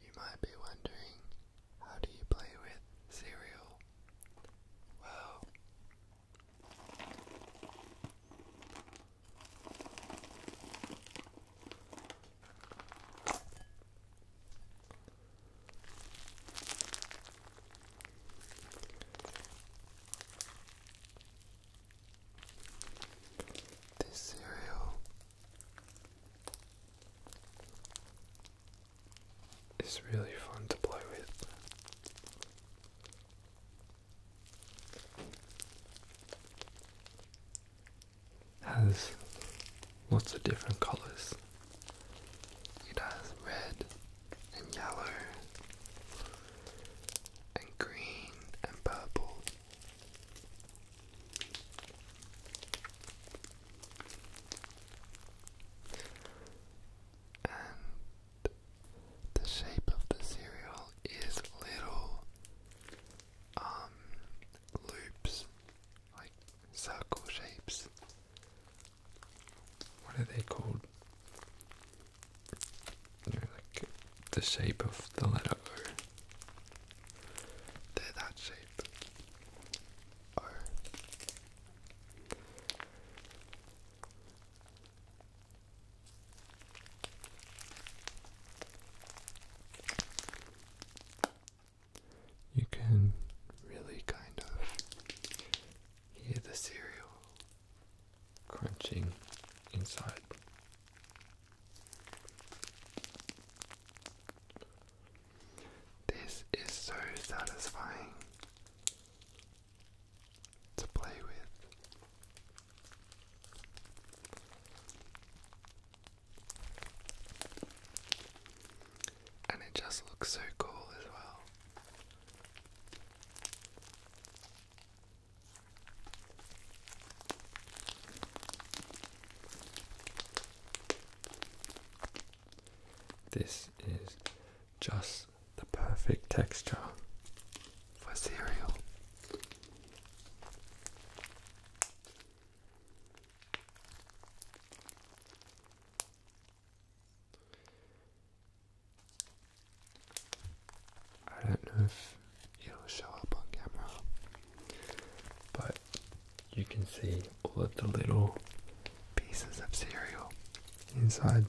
You might be wondering, how do you play with cereal? Well, this cereal it's really fun to play with. Has lots of different colors. It has red and yellow and green and purple and the shape of the cereal is little um, loops, like circle shapes. What are they called? You know, like the shape of the letter O. They're that shape. You can really kind of hear the cereal crunching inside this is so satisfying to play with. And it just looks so cool as well. This is just the perfect texture for cereal. I don't know if it'll show up on camera, but you can see all of the little pieces of cereal inside.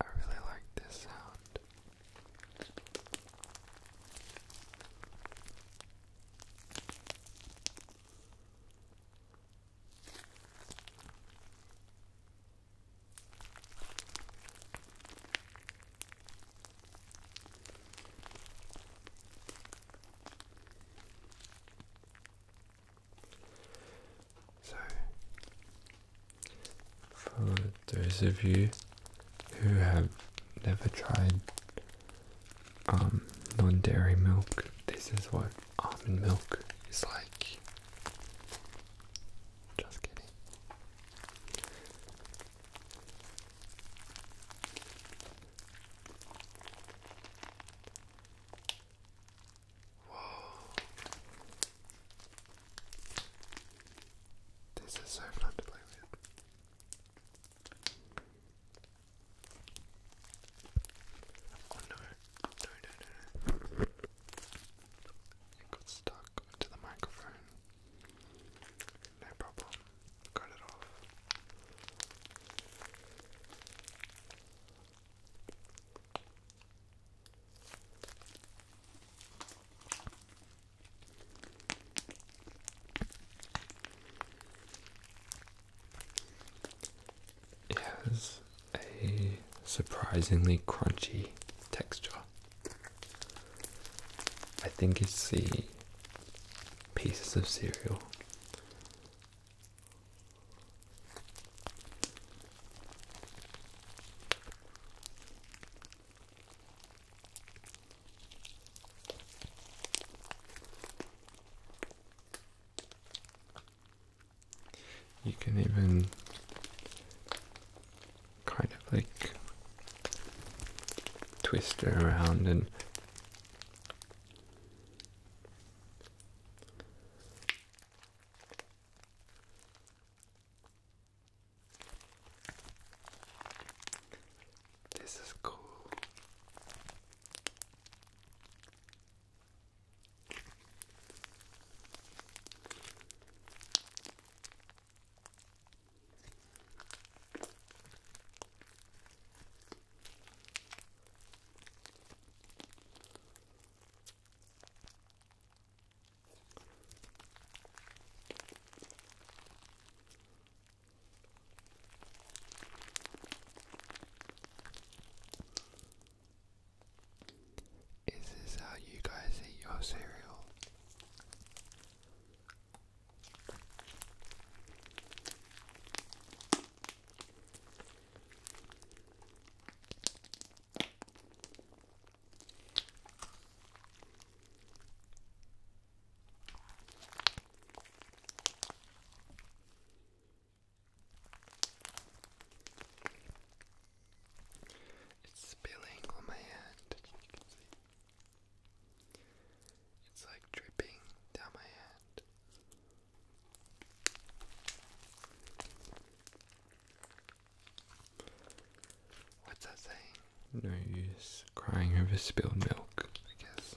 I really like this sound. So, for those of you who have never tried um, non dairy milk, this is what almond milk is like. Just kidding. Whoa. This is so fun to play with. Oh no, no, no, no. got stuck to the microphone. No problem. Cut it off. It has a surprisingly crunchy texture. I think it's the pieces of cereal. You can even kind of like twist it around and this is cool. Is this how you guys eat your cereal? It's spilling on my hand, It's like dripping down my hand. What's that saying? No use crying over spilled milk, I guess.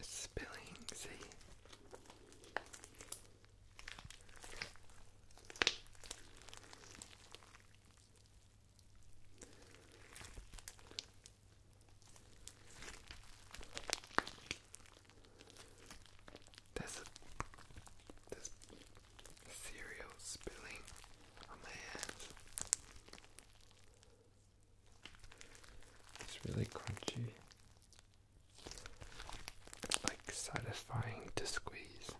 spilling Z. There's a there's cereal spilling on my hands. It's really crunchy. like satisfying to squeeze.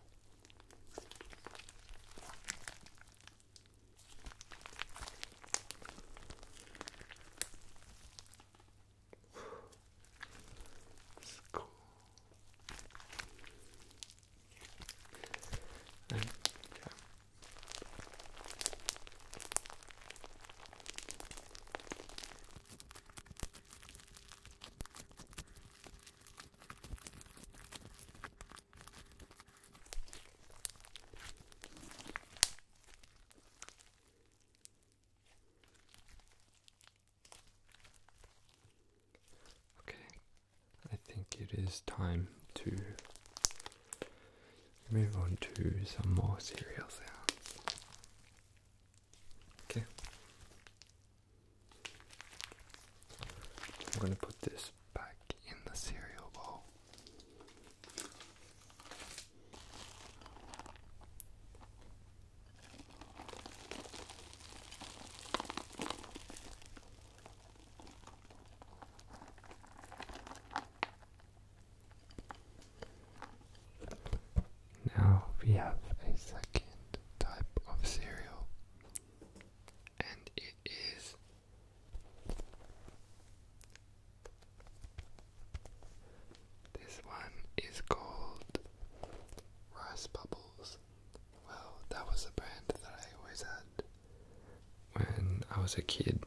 It's cool. Okay, I think it is time to move on to some more cereal sounds. Okay. I'm going to put this back in the cereal bowl. Now we have a second type of cereal, and it is this one is called Rice Bubbles. Well, that was the brand that I always had when I was a kid,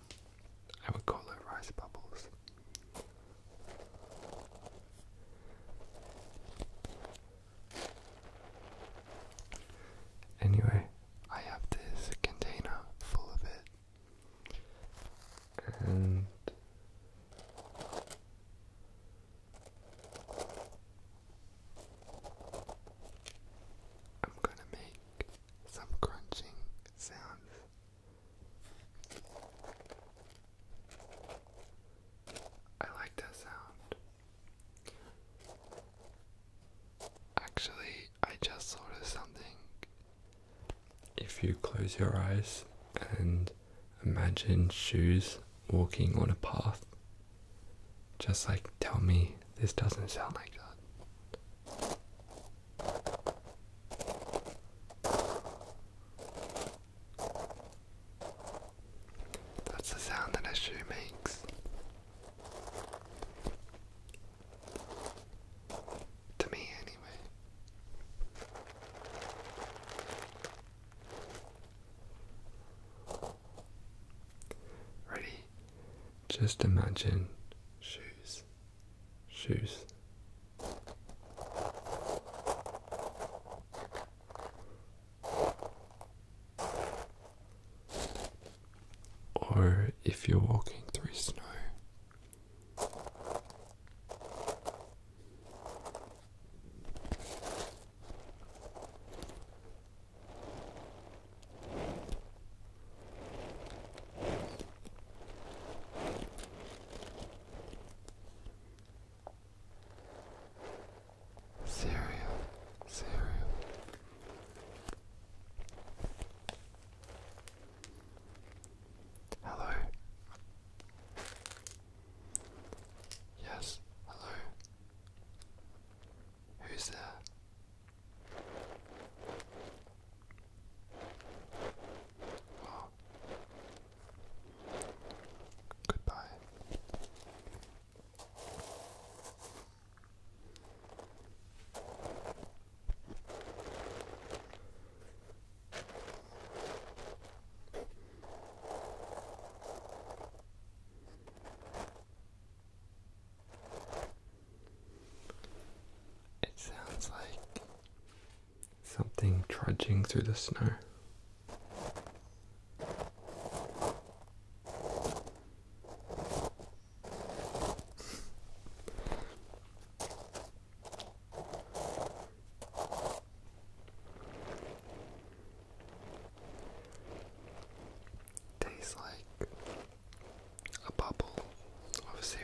I would call it rice bubbles. Anyway, I have this container full of it, and I'm going to make some crunching sounds I like that sound. Actually, I just thought of something. If you close your eyes and imagine shoes walking on a path, just like tell me this doesn't sound like that. That's the sound that a shoe makes. To me, anyway. Ready? Just imagine shoes shoes. Or if you're walking through snow, Cereal, cereal. Hello. Yes, hello. Who's there? Well, goodbye. It sounds like something trudging through the snow. Tastes like a bubble of cereal.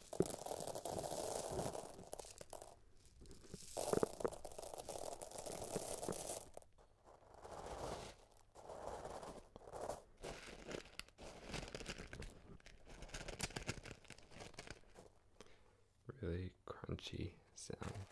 Really crunchy sound.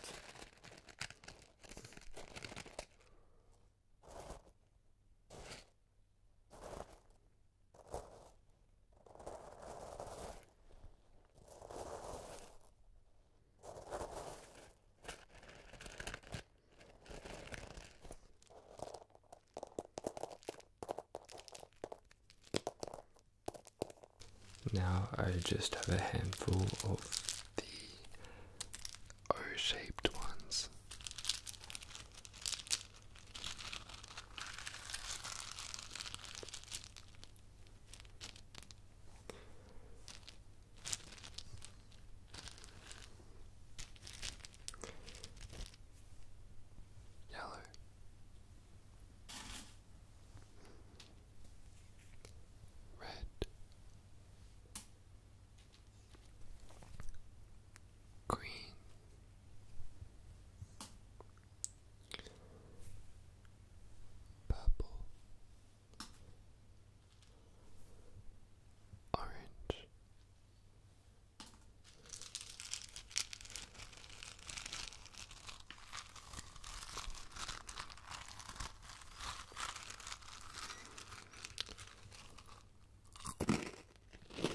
Now I just have a handful of the O shaped ones. Yellow. Red green. Purple, orange,